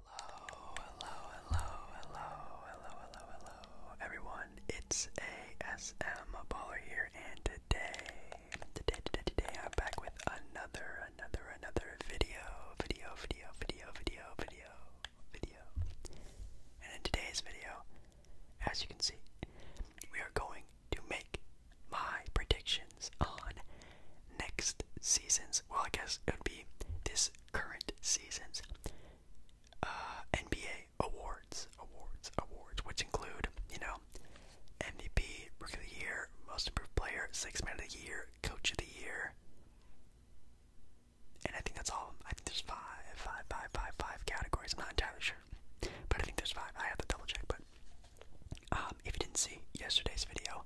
Hello, hello, hello, hello, hello, hello, hello, everyone. It's ASM Baller here, and today, today, today, today, I'm back with another, another, another video, video, video, video, video, video, video. And in today's video, as you can see, we are going to make my predictions on next season's. Well, I guess it would be this current season's uh, NBA awards, awards, awards, which include, you know, MVP, Rookie of the Year, Most Improved Player, Sixth Man of the Year, Coach of the Year. And I think that's all. I think there's five, five, five, five, five categories. I'm not entirely sure, but I think there's five. I have to double check. But um, if you didn't see yesterday's video,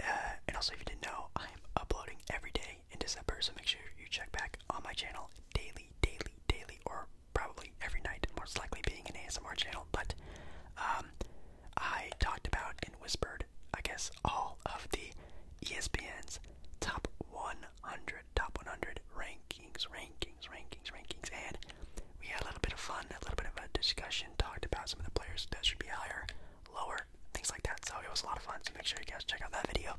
uh, and also, if you didn't know, I'm uploading every day in December, so make sure you check back on my channel daily, daily, daily, or probably every night, most likely being an ASMR channel. But um, I talked about and whispered, I guess, all of the ESPN's top 100, top 100 rankings, rankings, rankings, rankings, and we had a little bit of fun, a little bit of a discussion, talked about some of the players that should be higher lower, things like that. So it was a lot of fun. So make sure you guys check out that video.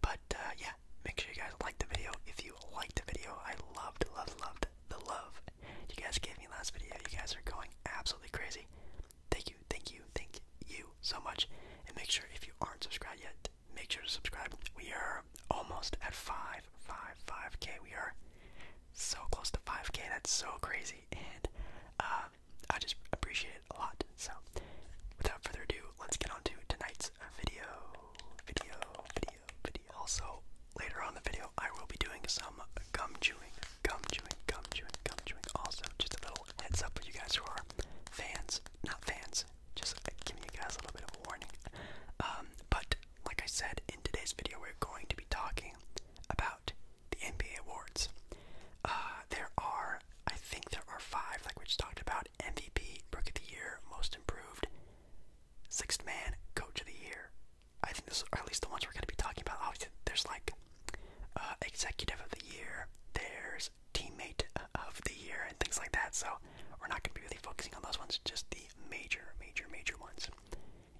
But uh, yeah, make sure you guys like the video. If you liked the video, I loved, loved, loved the love you guys gave me last video. You guys are going absolutely crazy. Thank you, thank you, thank you so much. And make sure if you aren't subscribed yet, make sure to subscribe. We are almost at 5, 5, 5K. We are so close to 5K. That's so crazy. And uh, um, I just appreciate it a lot. So, without further ado, let's get on to tonight's video. Video, video, video. Also, later on in the video, I will be doing some gum chewing, gum chewing, gum chewing, gum chewing. Also, just a little heads up for you guys who are fans, not fans, just giving you guys a little bit of a warning. Um, but, like I said, in today's video, we're going to be talking about the NBA awards. Uh, there are, I think, there are five, like we just talked about: MVP, Rookie of the Year, Most Improved, Sixth Man, Coach of the Year. I think this, or at least the ones we're going to be talking about. Obviously, there's like uh, Executive of the Year, there's Teammate of the Year, and things like that. So we're not going to be really focusing on those ones, just the major, major, major ones.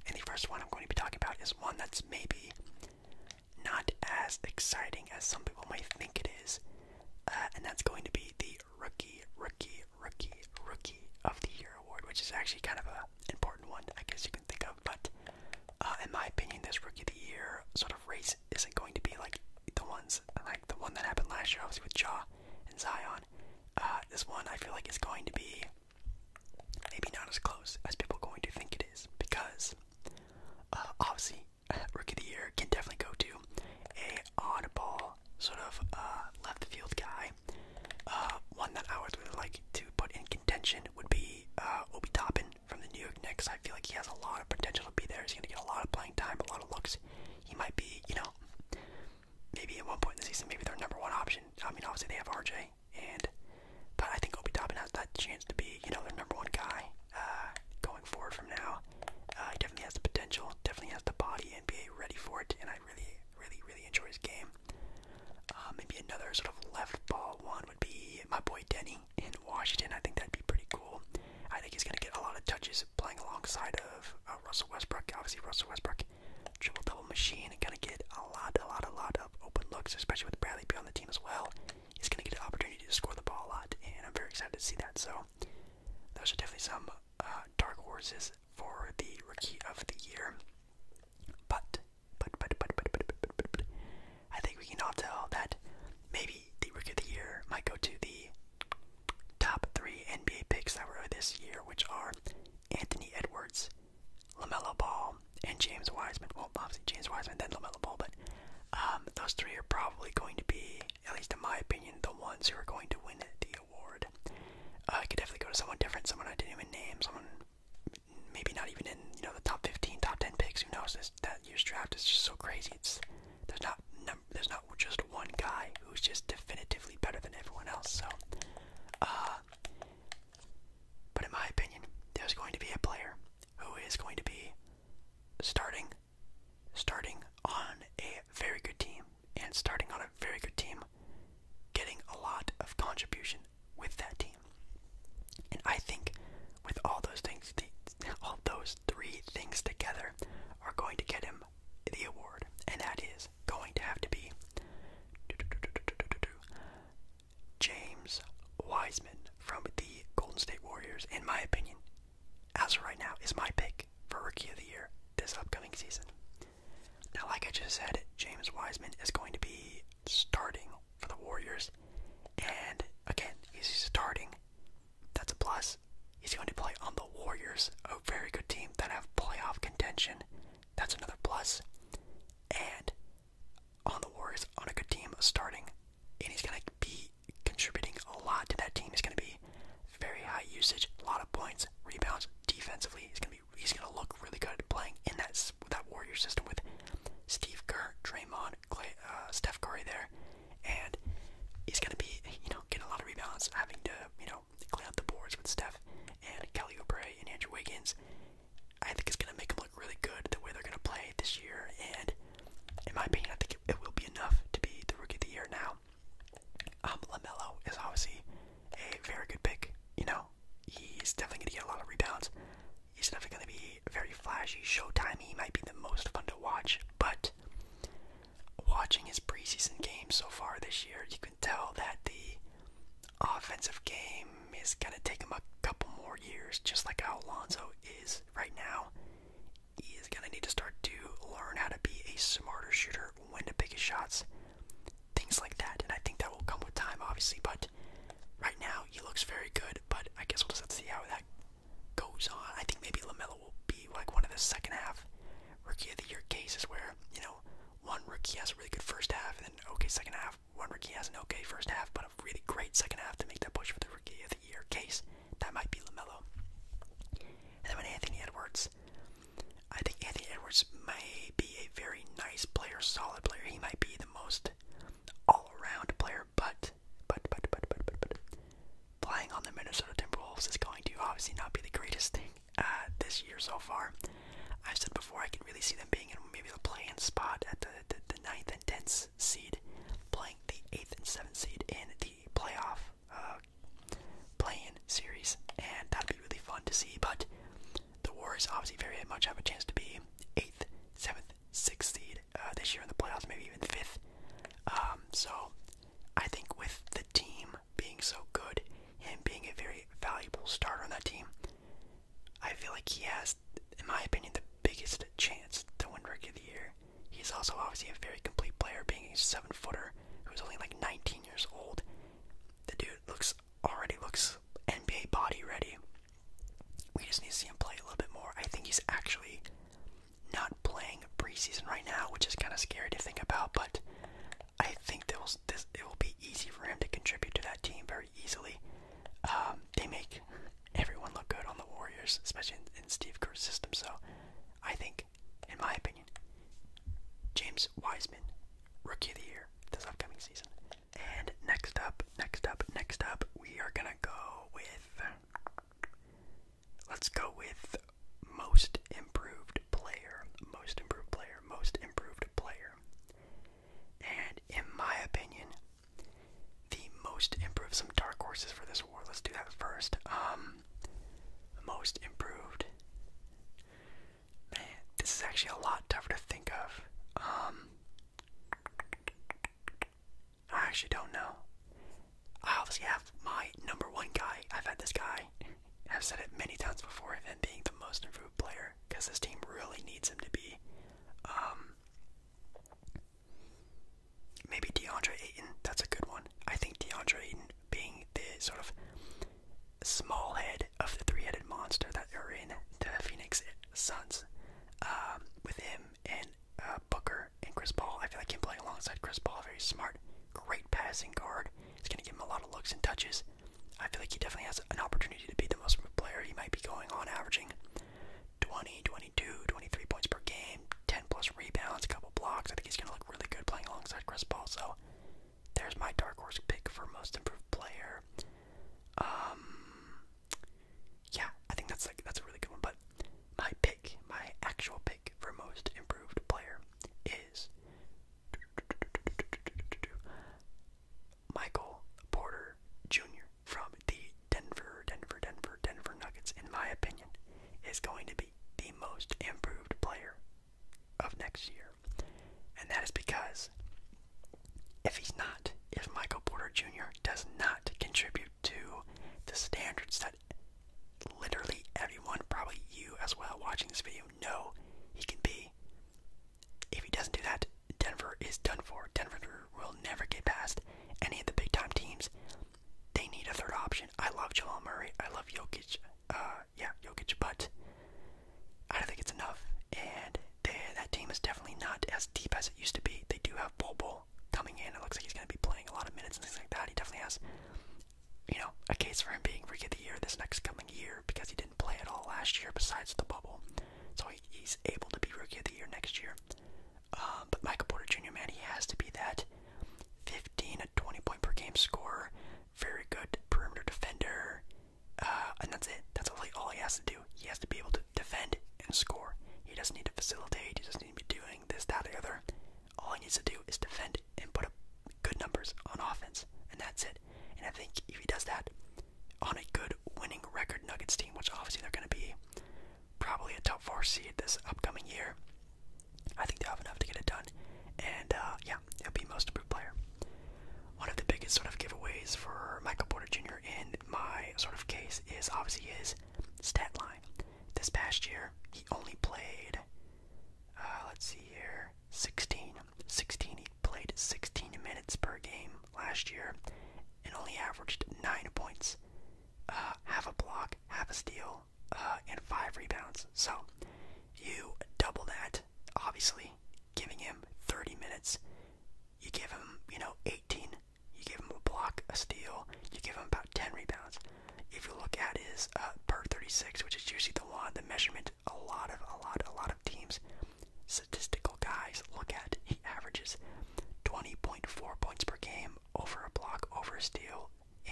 And the first one I'm going to be talking about is one that's maybe not as exciting as some people might think it is, uh, and that's going to be the Rookie, Rookie, Rookie, Rookie of the Year award, which is actually kind of an important one, I guess you can think of. But uh, in my opinion, this Rookie of the Year sort of race isn't going to be like the ones like the one that happened last year, obviously with Jaw and Zion. Uh, this one I feel like is going to be maybe not as close as people are going to think it is because uh, obviously, rookie of the year can definitely go to a oddball sort of uh, left field guy. Uh, one that I would really like to put in contention would be Obi Toppin from the New York Knicks. I feel like he has a lot of potential to be there. He's going to get a lot of playing time, a lot of looks. He might be, you know, maybe at one point in the season, maybe their number one option. I mean, obviously they have RJ, and but I think Obi Toppin has that chance to be, you know, their number one guy uh, going forward from now. Uh, he definitely has the potential, definitely has the body, NBA ready for it, and I really, really, really enjoy his game. Uh, maybe another sort of left ball one would be my boy Denny in Washington. I think that'd be pretty cool. I think he's gonna get a lot of touches playing alongside of Russell Westbrook. Obviously, Russell Westbrook, triple double machine, and gonna get a lot, a lot, a lot of open looks, especially with Bradley being on the team as well he's going to get an opportunity to score the ball a lot, and I'm very excited to see that. So, those are definitely some uh, dark horses for the rookie of the year. But but but, but, but, but, but, but, but, I think we can all tell that maybe the rookie of the year might go to the top three NBA picks that were this year, which are Anthony Edwards, LaMelo Ball, and James Wiseman. Well, obviously James Wiseman, then LaMelo Ball, but um, those three are probably going to be, at least in my opinion, the ones who are going to win the award. Uh, I could definitely go to someone different, someone I didn't even name, someone maybe not even in you know the top 15, top 10 picks. Who knows? This that year's draft is just so crazy. It's there's not there's not just one guy who's just definitively better than everyone else. So, uh, but in my opinion, there's going to be a player who is going to be starting starting on a very good team and starting on a very good team getting a lot of contribution with that team. And I think with all those things all those three things together are going to get him the award and that is going to have to be James Wiseman from the Golden State Warriors, in my opinion, as of right now, is my pick for Rookie of the Year this upcoming season. Now, like I just said, James Wiseman is going to be starting for the Warriors, and again, he's starting. That's a plus. He's going to play on the Warriors, a very good team that have playoff contention. That's another And on the Warriors on a good team starting, and he's going to be contributing a lot to that team. He's going to be very high usage, a lot of points, rebounds, defensively. He's going to be he's going to look really good playing in that that Warrior system with Steve Kerr, Draymond, Clay, uh, Steph Curry there, and he's going to be you know getting a lot of rebounds, having to you know clean up the boards with Steph and Kelly Oubre and Andrew Wiggins. I think it's going to make him really good the way they're going to play this year, and in my opinion, I think it will be enough to be the rookie of the year now. Um, LaMelo is obviously a very good pick, you know, he's definitely going to get a lot of rebounds. He's definitely going to be very flashy, showtime. He might be the most fun to watch, but watching his preseason games so far this year, you can tell that the offensive game is going to take him a couple more years, just like how Alonzo is right now, he is going to need to start to learn how to be a smarter shooter, when to pick his shots, things like that. And I think that will come with time, obviously. But right now, he looks very good. But I guess we'll just have to see how that goes on. I think maybe LaMelo will be like one of the second half rookie of the year cases where, you know, one rookie has a really good first half and then okay second half. One rookie has an okay first half, but a really great second half to make that push for the rookie the year case. That might be LaMelo. And then with Anthony Edwards, I think Anthony Edwards may be a very nice player, solid player. He might be the most all around player, but, but, but, but, but, but, but, playing on the Minnesota Timberwolves is going to obviously not be the greatest thing uh, this year so far. I've said before I can really see them being in maybe the playing spot at the, the, the ninth and tenth seed playing the eighth and seventh seed in the playoff uh, series, and that'd be really fun to see. But the Warriors obviously very much have a chance to be eighth, seventh, sixth seed uh, this year in the playoffs, maybe even fifth. Um, so I think with the team being so good, and being a very valuable starter on that team, I feel like he has in my opinion, the biggest chance to win Rookie of the Year. He's also obviously a very complete player, being a seven footer who's only like 19 years old. The dude looks already looks NBA body ready. We just need to see him play a little bit more. I think he's actually not playing preseason right now, which is kind of scary to think about. But I think that will, it will be easy for him to contribute to that team very easily. Um, they make everyone look good on the Warriors, especially in Steve Kerr's system. So, I think, in my opinion, James Wiseman, Rookie of the Year this upcoming season. And next up, next up, next up, we are gonna go with. Let's go with most improved player, most improved player, most improved player. And in my opinion, the most improved, some dark horses for this war. Let's do that first. Um, most improved. Man, this is actually a lot tougher to think of. Um, I actually don't know. I obviously have my number one guy. I've had this guy. I've said it many times before him being the most improved player because this team really needs him to be. Um, Maybe DeAndre Ayton, that's a good one. I think DeAndre Ayton being the sort of small head of the three headed monster that are in the Phoenix Suns, um, with him and uh, Booker and Chris Paul, I feel like him playing alongside Chris Paul, very smart, great passing guard. It's going to give him a lot of looks and touches. I feel like he definitely has an opportunity to be the most player he might be going on, averaging 20, 22, 23 points per game, 10 plus rebounds, a couple blocks. I think he's going to look really good playing alongside Chris Paul. So there's my dark horse pick for most improved player. Um, yeah, I think that's like that's a really good one. But my pick, my actual pick for most improved player is Michael Porter Jr from the Denver, Denver, Denver, Denver Nuggets, in my opinion, is going to be the most improved player of next year. And that is because if he's not, if Michael Porter Jr. does not contribute to the standards that literally everyone, probably you as well, watching this video, know he can be, if he doesn't do that, Denver is done for. Denver will never get past any of the big time teams. They need a third option. I love Jamal Murray. I love Jokic. Uh, yeah, Jokic, but I don't think it's enough. And that team is definitely not as deep as it used to be. They do have Bol coming in. It looks like he's going to be playing a lot of minutes and things like that. He definitely has, you know, a case for him being Rookie of the Year this next coming year because he didn't play at all last year besides the bubble. So he's able to be Rookie of the Year next year. Um, but Michael Porter Jr., man, he has to be that 15 to 20 point per game scorer, very good perimeter defender. Uh, and that's it. That's all he has to do. He has to be able to defend and score. He doesn't need to facilitate. He doesn't need to be doing this, that, or the other. All he needs to do is defend and put up good numbers on offense, and that's it. And I think if he does that on a good winning record Nuggets team, which obviously they're going to be, probably a top four seed this upcoming year. I think they have enough to get it done, and uh, yeah, it'll be most improved player. One of the biggest sort of giveaways for Michael Porter Jr. in my sort of case is obviously his stat line. This past year, he only played, uh, let's see here, 16. 16. He played 16 minutes per game last year and only averaged 9 points uh, half a block, half a steal, uh, and five rebounds. So you double that, obviously, giving him 30 minutes. You give him, you know, 18. You give him a block, a steal. You give him about 10 rebounds. If you look at his uh, per 36, which is usually the one, the measurement a lot of, a lot, a lot of teams, statistical guys look at, he averages 20.4 points per game over a block, over a steal,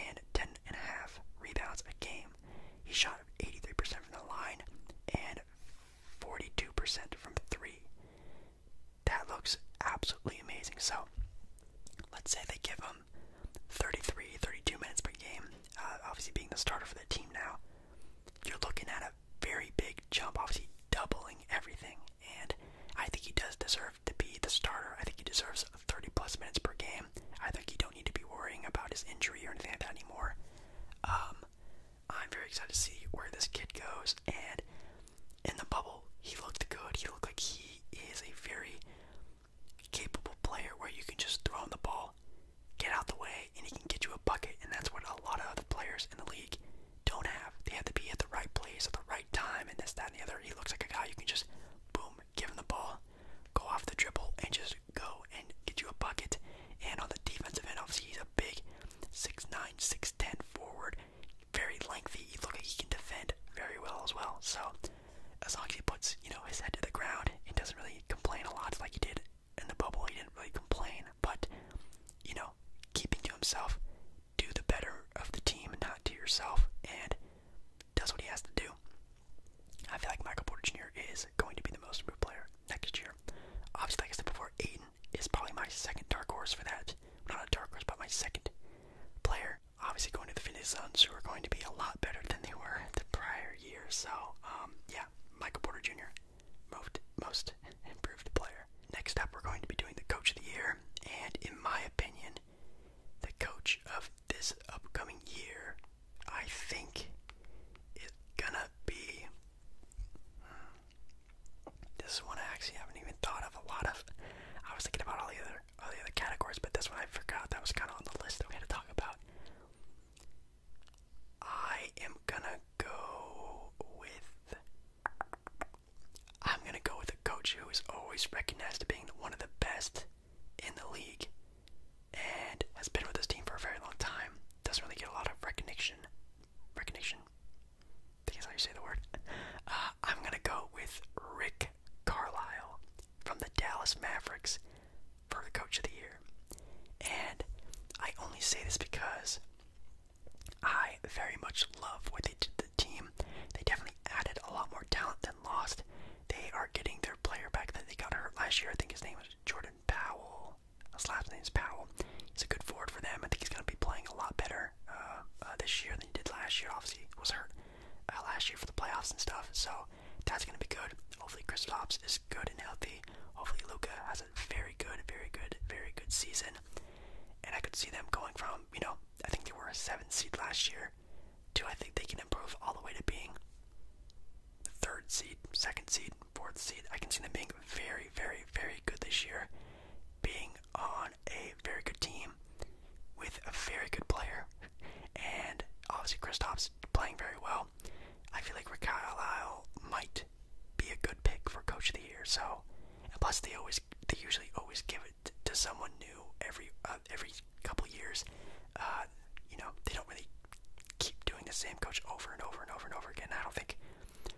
and 10 and a half rebounds a game. He shot 83% from the line and 42% from three. That looks absolutely amazing. So let's say they give him 33, 32 minutes per game, uh, obviously being the starter for the team now. You're looking at a very big jump, obviously doubling everything and I think he does deserve to be the starter. I think he deserves 30 plus minutes per game. I think you don't need to be worrying about his injury or anything like that anymore. Um, I'm very excited to see where this kid goes. And in the bubble, he looked good. He looked like he is a very capable player where you can just throw him the ball, get out the way, and he can get you a bucket. And that's what a lot of other players in the league don't have. They have to be at the right place at the right time and this, that, and the other. He looks like a guy you can just, boom, give him the ball, go off the dribble, and just go and get you a bucket. And on the defensive end, obviously, he's a big 6'9", 6'10", forward, very lengthy. He look like he can defend very well as well. So as long as he puts, you know, his head to the ground He doesn't really complain a lot like he did in the bubble, he didn't really complain. But, you know, keeping to himself, do the better of the team, not to yourself, and does what he has to do. I feel like Michael Porter Jr. is going to be the most improved player next year. Obviously, like I said before, Aiden is probably my second dark horse for that. Not a dark horse, but my second player. Obviously, going to the Phoenix Suns, who are going to be a lot better than they were the prior year. So, um, yeah, Michael Porter Jr. Most, most improved player. Next up, we're going to be doing the Coach of the Year, and in my opinion, the coach of this upcoming year, I think, is gonna be. Hmm, this is one I actually haven't even thought of a lot of. I was thinking about all the other all the other categories, but this one I forgot. That was kind of on the list that we had to talk about. I am gonna go with. I'm going to go with a coach who is always recognized as being one of the best in the league and has been with this team for a very long time. Doesn't really get a lot of recognition. Recognition? I think how you say the word. Uh, I'm going to go with Rick Carlisle from the Dallas Mavericks for the Coach of the Year. And I only say this because I very much love what they did team. They definitely added a lot more talent than lost. They are getting their player back that they got hurt last year. I think his name is Jordan Powell. His last name is Powell. He's a good forward for them. I think he's going to be playing a lot better uh, uh, this year than he did last year. Obviously, he was hurt uh, last year for the playoffs and stuff. So that's going to be good. Hopefully, Kristaps is good and healthy. Hopefully, Luca has a very good, very good, very good season. And I could see them going from you know I think they were a seven seed last year. Do I think they can improve all the way to being the third seed, second seed, fourth seed? I can see them being very, very, very good this year. Being on a very good team with a very good player, and obviously Kristaps playing very well. I feel like Rick Carlisle might be a good pick for Coach of the Year. So plus, they always they usually always give it to someone new every uh, every couple years. Uh, you know, they don't really keep doing the same coach over and over and over and over again. I don't think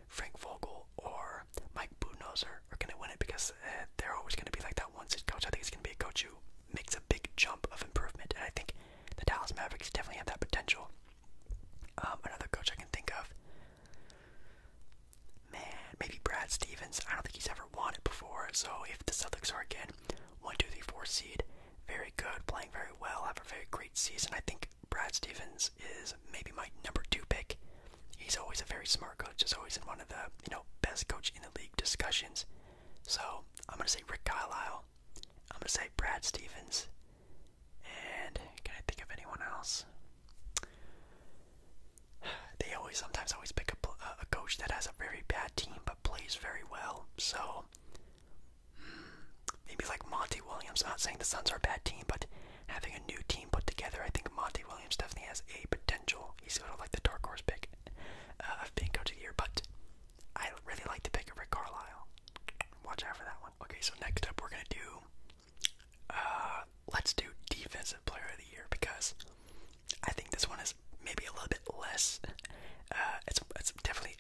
Frank Vogel or Mike Budenholzer are, going to win it because uh, they're always going to be like that one coach. I think it's going to be a coach who makes a big jump of improvement, and I think the Dallas Mavericks definitely have that potential. Um, another coach I can think of. Man, maybe Brad Stevens. I don't think he's ever won it before. So if the Celtics are again one, two, three, four seed, very good, playing very well, have a very great season. I think Brad Stevens is maybe my number two pick. He's always a very smart coach. He's always in one of the you know best coach in the league discussions. So I'm gonna say Rick Carlisle. I'm gonna say Brad Stevens. And can I think of anyone else? they always sometimes always pick a, coach that has a very bad team but plays very well. So hmm, maybe like Monty Williams. not saying the Suns are a bad team, but having a new team put together, I think Monty Williams definitely has a potential. He's sort of like the dark horse pick uh, of being coach of the year, but I really like the pick of Rick Carlisle. Watch out for that one. Okay, so next up we're gonna do. Uh, let's do defensive player of the year because I think this one is maybe a little bit less. Uh, it's it's definitely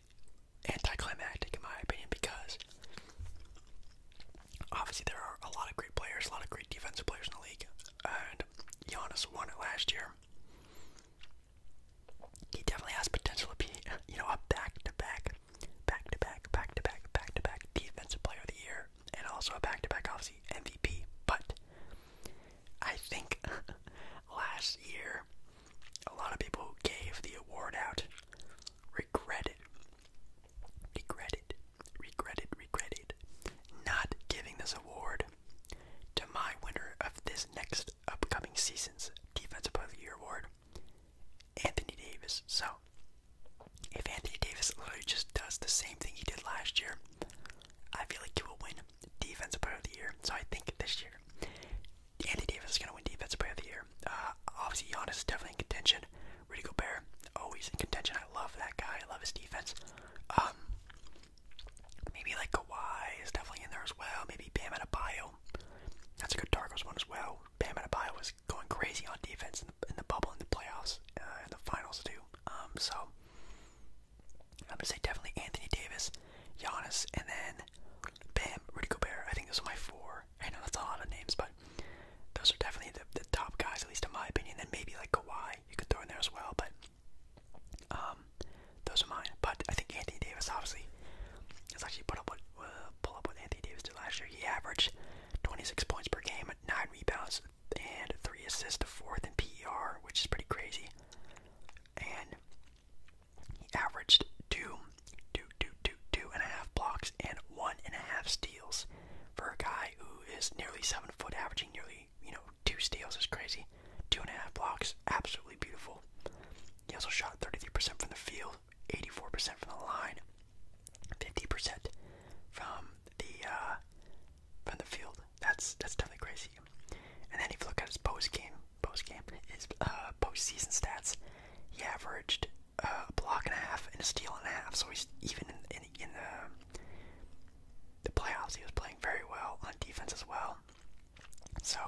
anticlimactic in my opinion because obviously there are a lot of great players, a lot of great defensive players in the league, and Giannis won it last year. He definitely has potential to be, you know, a back-to-back, back-to-back, back-to-back, back-to-back defensive player of the year and also a back-to-back -back MVP. But I think last year a lot of people who gave the award out regretted, regretted, regretted, regretted not giving this award to my winner of this next upcoming season's Defensive Player of the Year award, Anthony Davis. So if Anthony Davis literally just does the same thing he did last year, I feel like he will win Defensive Player of the Year. So I think this year, Andy Davis is going to win Defensive Player of the Year. Uh, obviously, Giannis is definitely in contention. Rudy Gobert, he's in contention. I love that guy. I love his defense. Um, maybe like Kawhi is definitely in there as well. Maybe Bam Adebayo. That's a good Darkos one as well. Bam Adebayo was going crazy on defense in the, bubble in the playoffs, uh, in the finals too. Um, so I'm gonna say definitely Anthony Davis, Giannis, and then Bam, Rudy Gobert. I think those are my four. I know that's a lot of names, but those are definitely the, the top guys, at least in my opinion. Then maybe like Kawhi, you could throw in there as well, but um, those are mine. But I think Anthony Davis, obviously, let's actually put up what uh, pull up what Anthony Davis did last year. He averaged 26 points per game, nine rebounds, and three assists to fourth in PER, which is pretty crazy. And he averaged two, two, two, two, two and a half blocks and one and a half steals for a guy who is nearly seven foot, averaging nearly you know two steals is crazy. Two and a half blocks, absolutely beautiful. He also shot 33% from the field, 84% from the line, 50% from the uh, from the field. That's that's definitely crazy. And then if you look at his post game, post game, his uh, postseason stats, he averaged uh, a block and a half and a steal and a half. So he's even in in, the the playoffs, he was playing very well on defense as well. So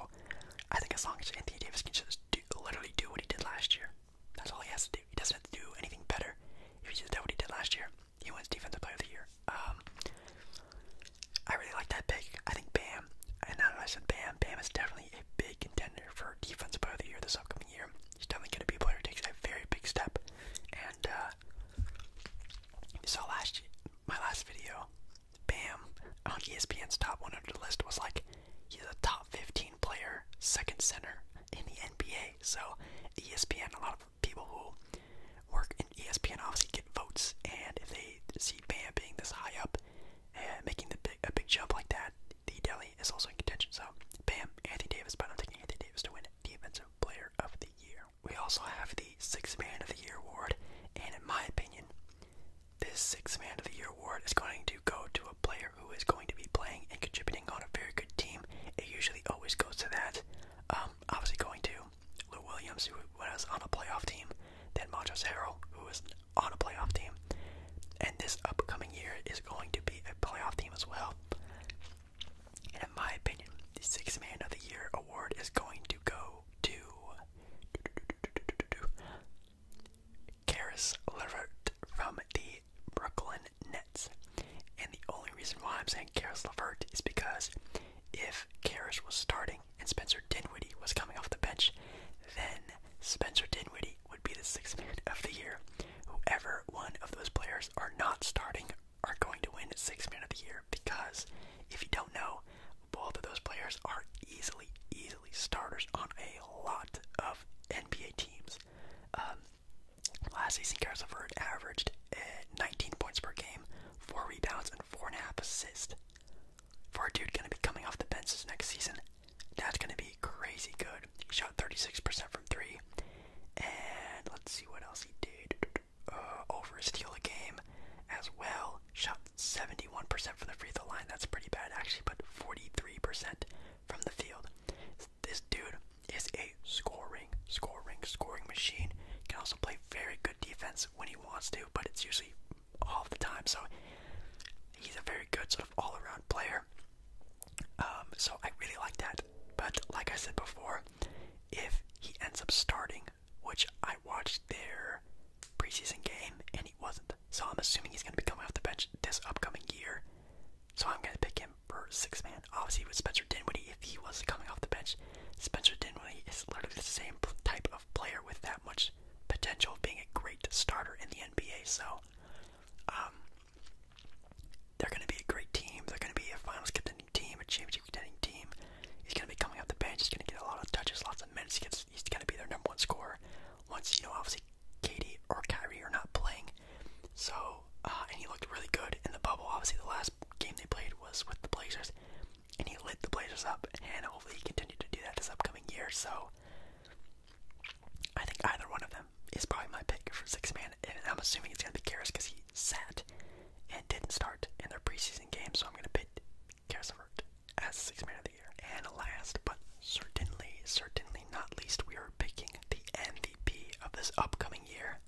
I think as long as Anthony Davis can just do, literally do what he did last year, that's all he has to do. He doesn't have to do anything better if he just did what he did last year. He wins Defensive Player of the Year. Um, I really like that pick. I think Bam, and now that I said Bam, Bam is definitely a big contender for Defensive Player of the Year this upcoming year. He's definitely going to be a player who takes a very big step. And uh, you saw last my last video, Bam on ESPN's top 100 list was like he's a top 15 player, second center in the NBA. So ESPN, a lot of people who work in ESPN obviously get votes, and if they see Bam being this high up making the big, a big jump like that, the Delhi is also in contention. So, Bam, Anthony Davis, but I'm taking Anthony Davis to win Defensive Player of the Year. We also have the Sixth Man of the Year award, and in my opinion, this Sixth Man of the Year award is going to go to a player who is going to be playing and contributing on a very good team. It usually always goes to that. Um, obviously, going to Lou Williams, who was on a playoff team, then Montrezl Harrell, who was on a playoff team, and this upcoming year is going to be a playoff team as well. in my opinion, the Sixth Man of the Year award is going to go to Karis LeVert from the Brooklyn Nets. And the only reason why I'm saying Karis LeVert is because if Karras was starting and Spencer Dinwiddie was coming off the bench, then Spencer Dinwiddie would be the sixth man of the year. Whoever one of those players are not starting are going to win sixth man of the year because if you don't know, both of those players are easily, easily starters on a lot of NBA teams. Um, last season, Karis Levert averaged eh, 19 points per game, four rebounds, and four and a half assists. For a dude gonna be coming off the bench this next season, that's gonna be crazy good. He shot 36% from three, and let's see what else he did. Uh, over a steal a game, as well. Shot 71% from the free throw line. That's pretty bad actually, but 43% from the field. This dude is a scoring, scoring, scoring machine. can also play very good defense when he wants to, but it's usually all the time. So he's a very good sort of all-around player. Um, so I really like that. But like I said before, if he ends up starting, which I watched their preseason game and he wasn't, so I'm assuming he's going to be coming off the bench this upcoming year. So I'm going to pick him for six man. Obviously, with Spencer Dinwiddie, if he was not coming off the bench, Spencer Dinwiddie is literally the same type of player with that much potential of being a great starter in the NBA. So, um, they're going to be a great team. They're going to be a finals contending team, a championship contending team. He's going to be coming off the bench. He's going to get a lot of touches, lots of minutes. he's going to be their number one scorer. Once you know, obviously, Katie or Kyrie are not playing. So, uh, and he looked really good in the bubble. Obviously, the last game they played was with the Blazers and he lit the Blazers up, and hopefully he continued to do that this upcoming year. So I think either one of them is probably my pick for six man, and I'm assuming it's gonna be Karras because he sat and didn't start in their preseason game. So I'm gonna pick Karras Levert as six man of the year. And last, but certainly, certainly not least, we are picking the MVP of this upcoming year,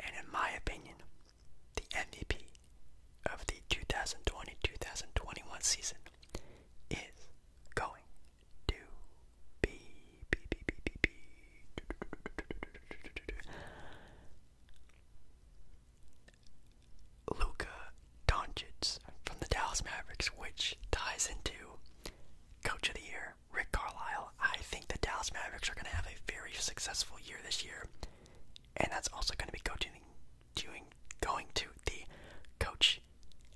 and in my opinion, the MVP of the 2020 2021 season is going to be. be, be, be, be, be Luka Doncic from the Dallas Mavericks, which ties into Coach of the Year, Rick Carlisle. I think the Dallas Mavericks are going to have a very successful year this year and that's also going to be coaching, doing, going to the coach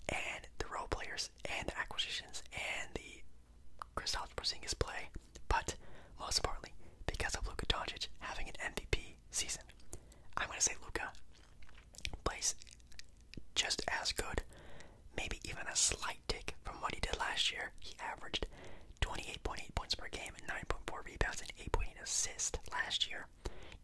and the role players and the acquisitions and the Kristaps Porzingis play, but most importantly, because of Luka Doncic having an MVP season, I'm going to say Luka plays just as good, maybe even a slight tick from what he did last year. He averaged 28.8 points per game and 9.4 rebounds and 8.8 assists last year.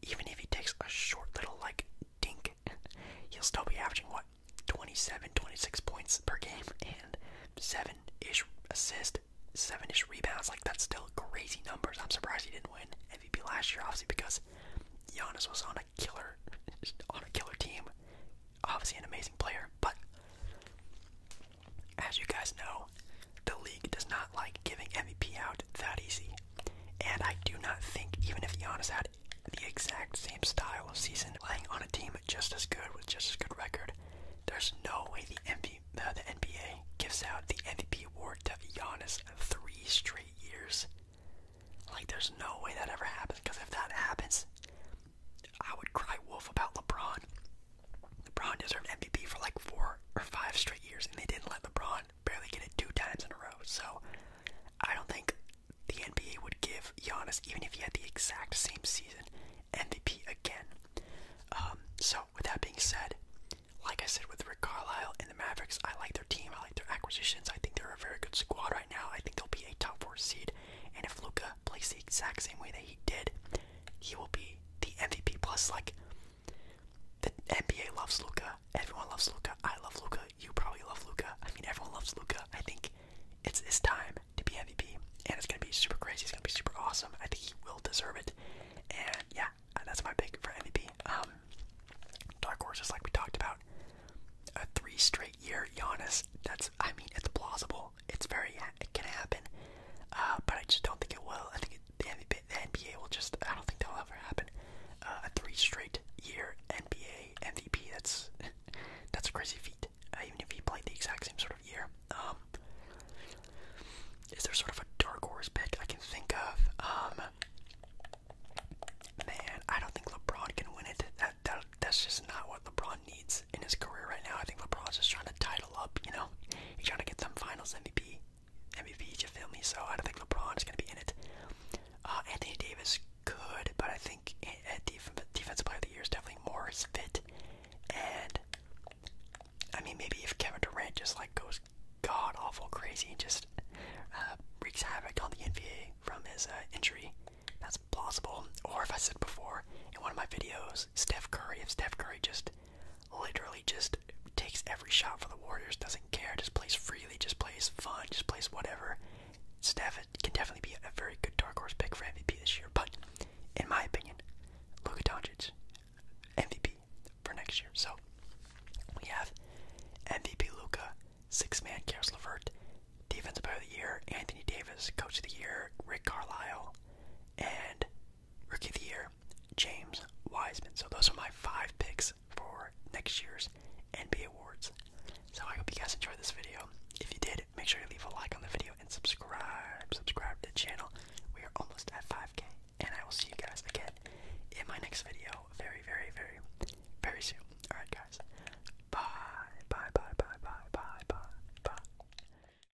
Even if he takes a short little like dink, he'll still be averaging what 27, 26 points per game and seven-ish assists, seven-ish rebounds. Like that's still crazy numbers. I'm surprised he didn't win MVP last year, obviously because Giannis was on a killer, on a killer team. Obviously an amazing player, but as you guys know, the league does not like giving MVP out that easy. And I do not think, even if Giannis had the exact same style of season, playing on a team just as good with just as good record, there's no way the, uh, NBA gives out the MVP award to Giannis three straight years. Like, there's no way that ever happens, because if that happens, I would cry wolf about LeBron. LeBron deserved MVP for like four or five straight years, and they didn't let LeBron barely get it two times in a row. So I don't think the NBA would give Giannis, even if he had the exact same season, MVP again. Um, so with that being said, like I said with Rick Carlisle and the Mavericks, I like their team. I like their acquisitions. I think they're a very good squad right now. I think they'll be a top four seed. And if Luca plays the exact same way that he did, he will be the MVP. Plus, like the NBA loves Luca. Everyone loves Luca. I love Luca. You probably love Luca. I mean, everyone loves Luca. I think it's his time to be MVP, and it's gonna be super crazy. It's gonna be super awesome. I think he will deserve it. And yeah, uh, that's my pick for MVP. Um, dark horses, like we talked about, a three straight year Giannis. That's I mean, it's plausible. It's very it can happen, uh, but I just don't think it will. I think it, the, NBA, will just I don't think that'll ever happen. Uh, a three straight year NBA MVP that's that's a crazy feat. Uh, even if he played the exact same sort of year. Um, is there sort of a dark horse pick I can think of? Um, man, I don't think LeBron can win it. That, that that's just not what LeBron needs in his career right now. I think LeBron's just trying to title up, you know? He's trying to get some finals MVP. MVP, you feel me? So I don't think LeBron is going to be in it. Uh, Anthony Davis could, but I think at eh, eh, def Defensive Player of the Year is definitely Morris fit. And, I mean, maybe if Kevin Durant just, like, goes god awful crazy and just uh, wreaks havoc on the NBA from his uh, injury, that's plausible. Or if I said before in one of my videos, Steph Curry, if Steph Curry just literally just takes every shot for the Warriors, doesn't care, just plays freely, just plays fun, just plays whatever. Steph can definitely be a very good dark horse pick for MVP this year, but in my opinion, Luka Doncic, MVP for next year. So we have MVP Luka, six man Karis Levert, Defensive Player of the Year, Anthony Davis, Coach of the Year, Rick Carlisle, and Rookie of the Year, James Wiseman. So those are my five picks for next year's NBA awards. So I hope you guys enjoyed this video. If you did, make sure to leave a like on the video and subscribe. Subscribe to the channel. We are almost at 5k. And I will see you guys again in my next video very, very, very, very soon. Alright guys. Bye. Bye bye bye bye bye bye bye.